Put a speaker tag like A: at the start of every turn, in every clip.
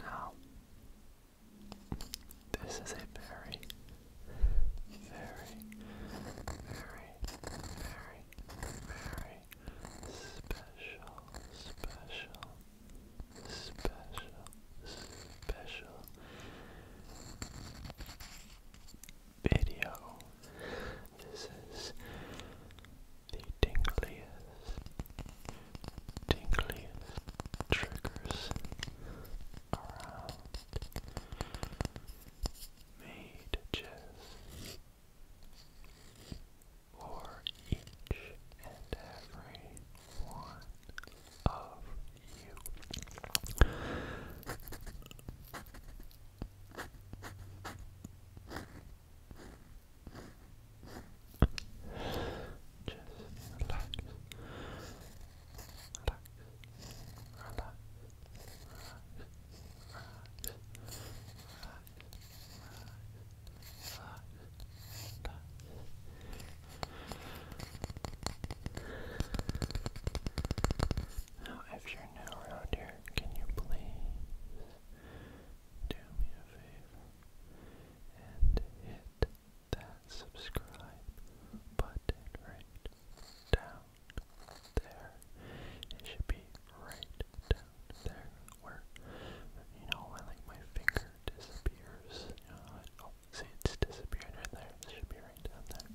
A: Now, this is a very, very, very, very, very special, special, special, special video. This is the tingliest, tingliest triggers around. Made just for each and every one of you.
B: Just relax. Relax. Relax. Relax. Now, if you're new around here, can you please do me a favor? and hit that subscribe button right down there. It should be right down there where, you know, when like my finger disappears. Uh, oh, see, it's disappeared there. It should be right down there.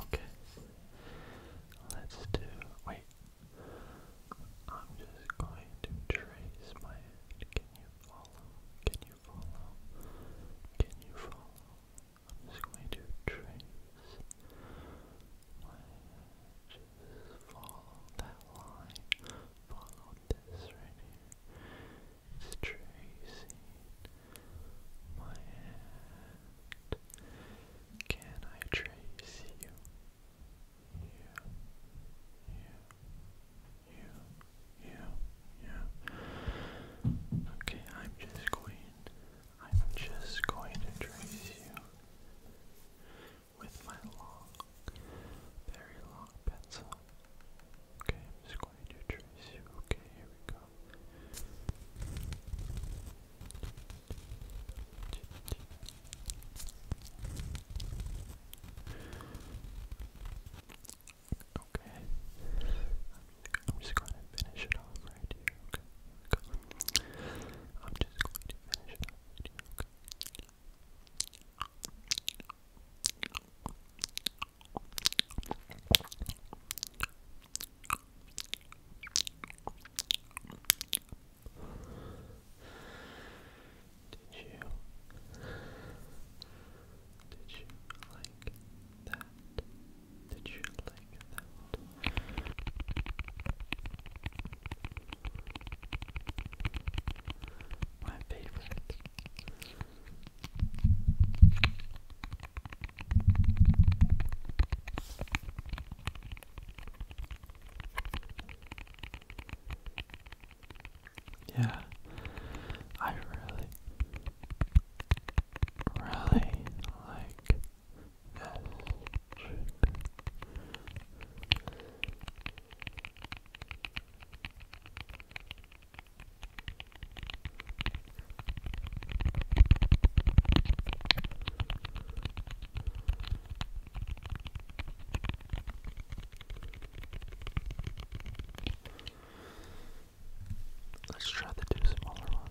B: Okay. Let's do. Wait. I'm just going to trace my Can you follow? Can you follow? Can you follow? I'm just going to trace my Follow that line. Follow this right my hand. Can I trace you? You, you, you, you, you. Okay, I'm just going. I'm just going to trace you with my long, very long pencil. Okay, I'm just going to trace you. Okay, here we go. Okay, I'm just going to finish it off right here. Okay, I'm just going to finish it off right here. Okay. Did you did you like that? Did you like that? My favorite. Yeah, I really, really like this. Let's try the two smaller ones.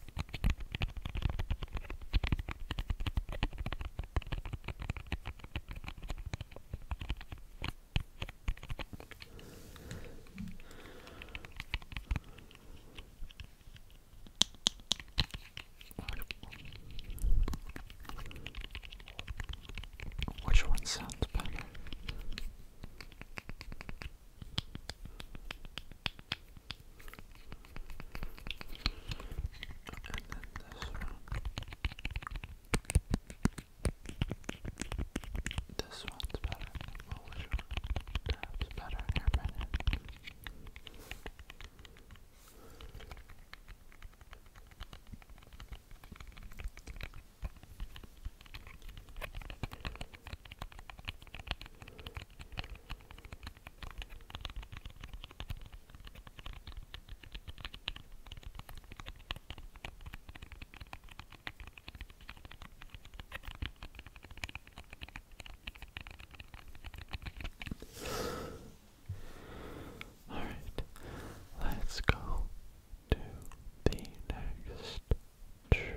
B: Which one sounds better? And then this one. This one's better. Well, which one? That's better in a minute. Okay. All right, let's go to the next trick.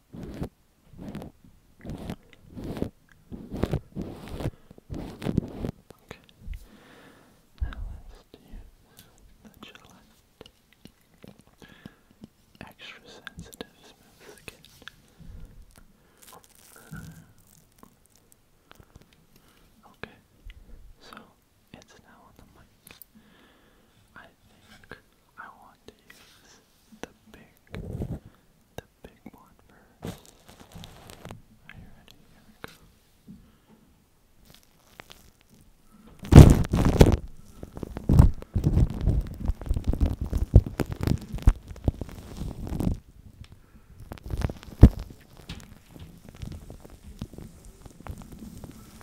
B: Okay. Now let's use the Gillette Extra Sensitive Skin. Okay, so it's now on the mic. I think I want to use the big, the big one first. Are you ready? Here we go.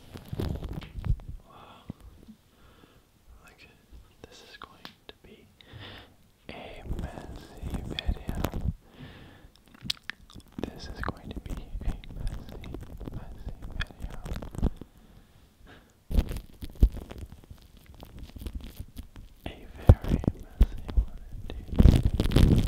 B: Wow. Like, this is going to be a messy video. This is going to be a messy, messy video. A very messy
A: one indeed.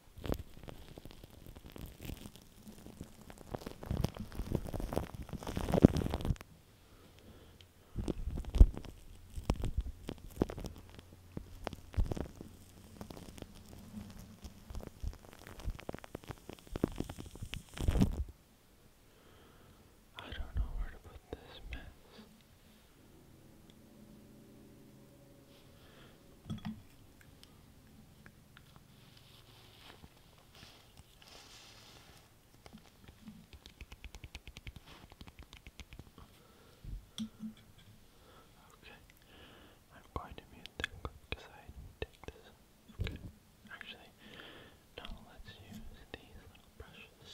A: I don't know where to put this mess. Okay, I'm going to mute that because I did this. Okay, actually, no, let's use these little brushes.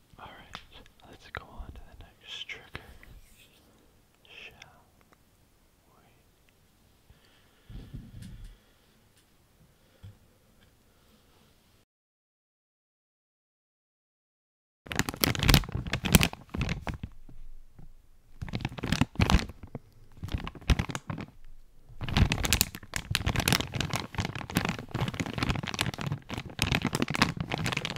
A: Alright, let's go on to the next trigger. Shall we?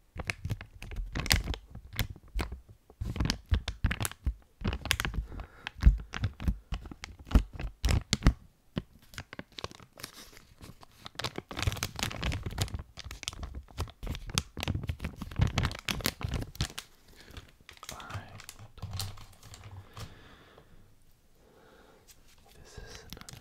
A: This is another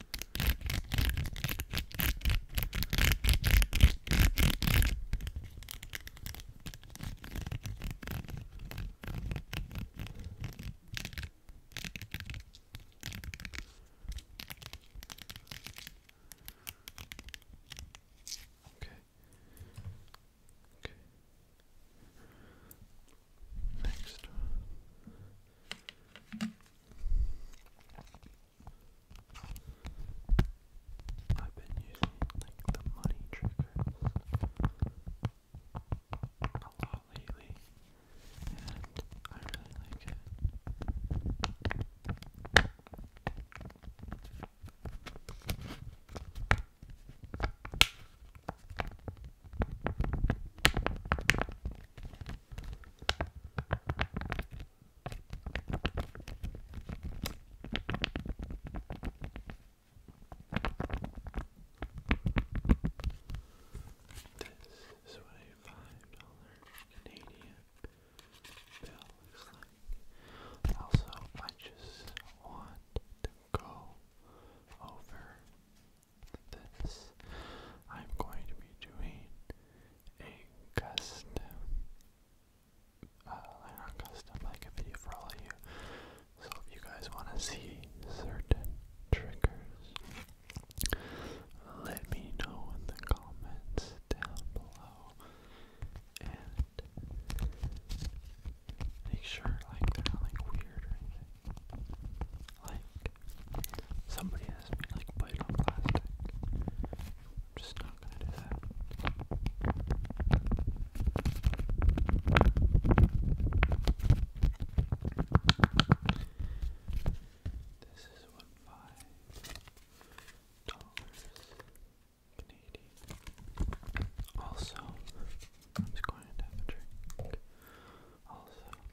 A: Okay. Okay. Next. I've been using like the money triggers a lot lately, and I really like it. This is what a five dollar Canadian bill looks like. Also, I just want to go over this, I'm going to be doing a custom, uh, like not custom, like a video for all of you. So if you guys want to see certain triggers, let me know in the comments down below. And make sure like not like weird or anything. Like Somebody asked me, like, put it on plastic. I'm just not gonna do that. This is what five dollars Canadian. Also, I'm just going to have a drink. Also,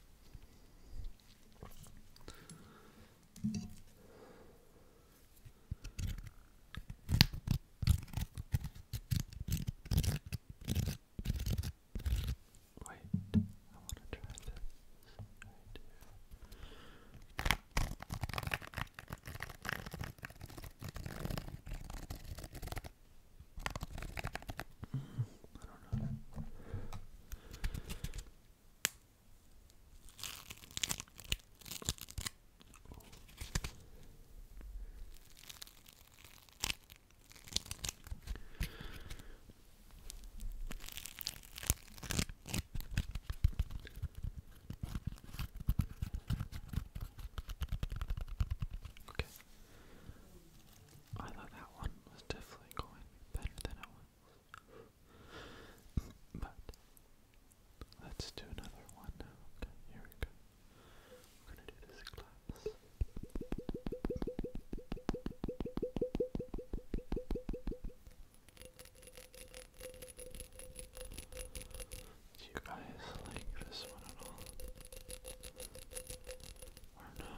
B: Wait, I want to try this right here. I do Okay. I thought that one was definitely going better than it was. but let's do another one Okay, here we go. We're gonna do this class. Do you guys like this one at all? Or no?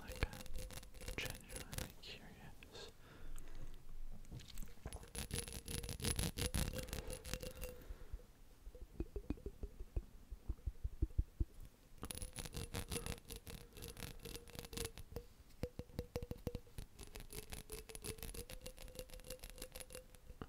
B: Like, I'm genuinely curious.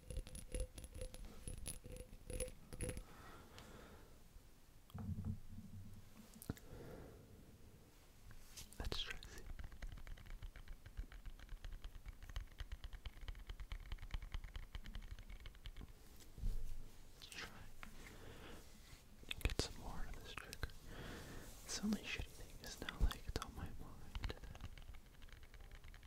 B: Let's try Let's try get some more of this trigger. It's only shitty thing now like it's on my mind.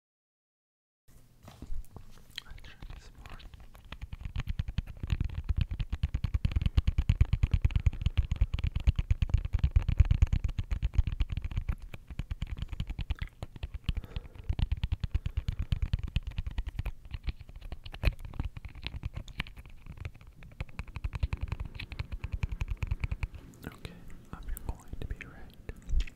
B: I should Okay, I'm going to be right.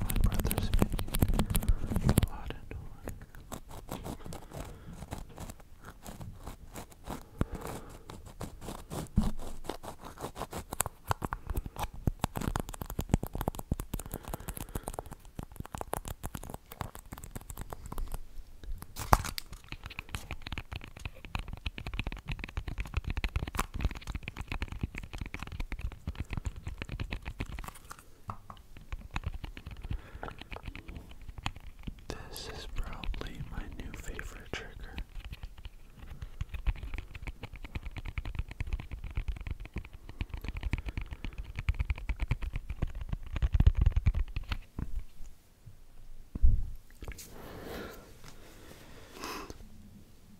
B: my brother's making a lot of noise. This is probably my new favorite trigger.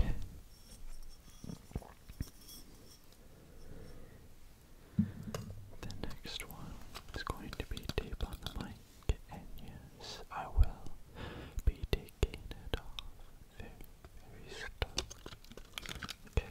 B: Okay. The next one is going to be deep on the mic, and yes, I will be taking it off very, very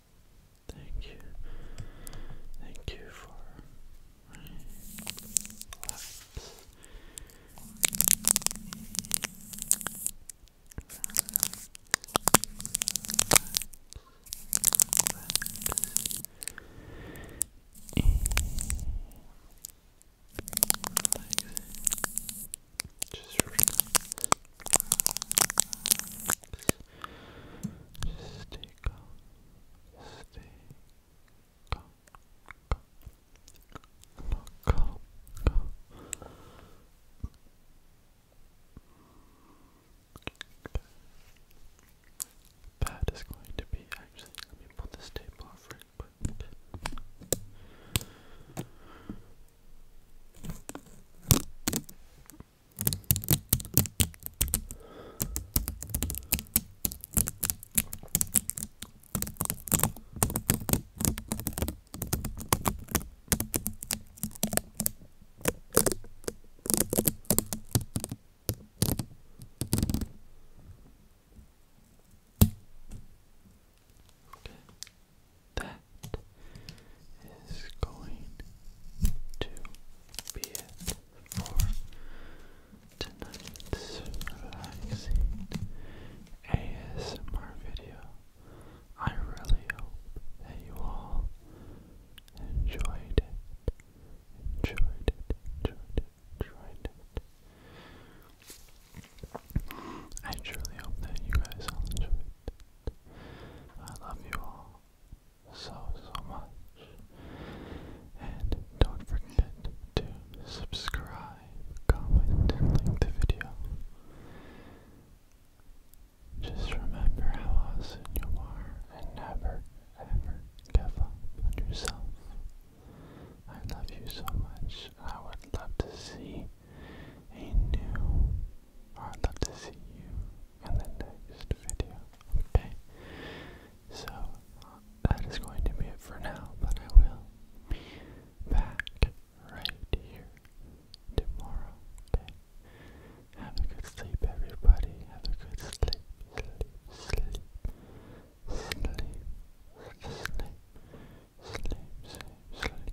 B: Thank you. Thank you for Stay calm. Stay calm. That is going to be actually. Let me pull this table off real quick. Okay. That is going to be for tonight's relaxing ASMR video. I really hope that you all enjoyed it. Enjoyed it, enjoyed it, enjoyed it. I truly hope that you guys all enjoyed it. I love you all so, so much. And don't forget to subscribe, comment, and like the video. Just remember how awesome you are and never, ever give up on yourself. I love you so much. I would love to see a new, I'd love to see you in the next video. Okay, so that is going to be it for now, but I will be back right here tomorrow. Okay, have a good sleep, everybody. Have a good sleep, sleep, sleep, sleep, sleep, sleep, sleep, sleep. sleep.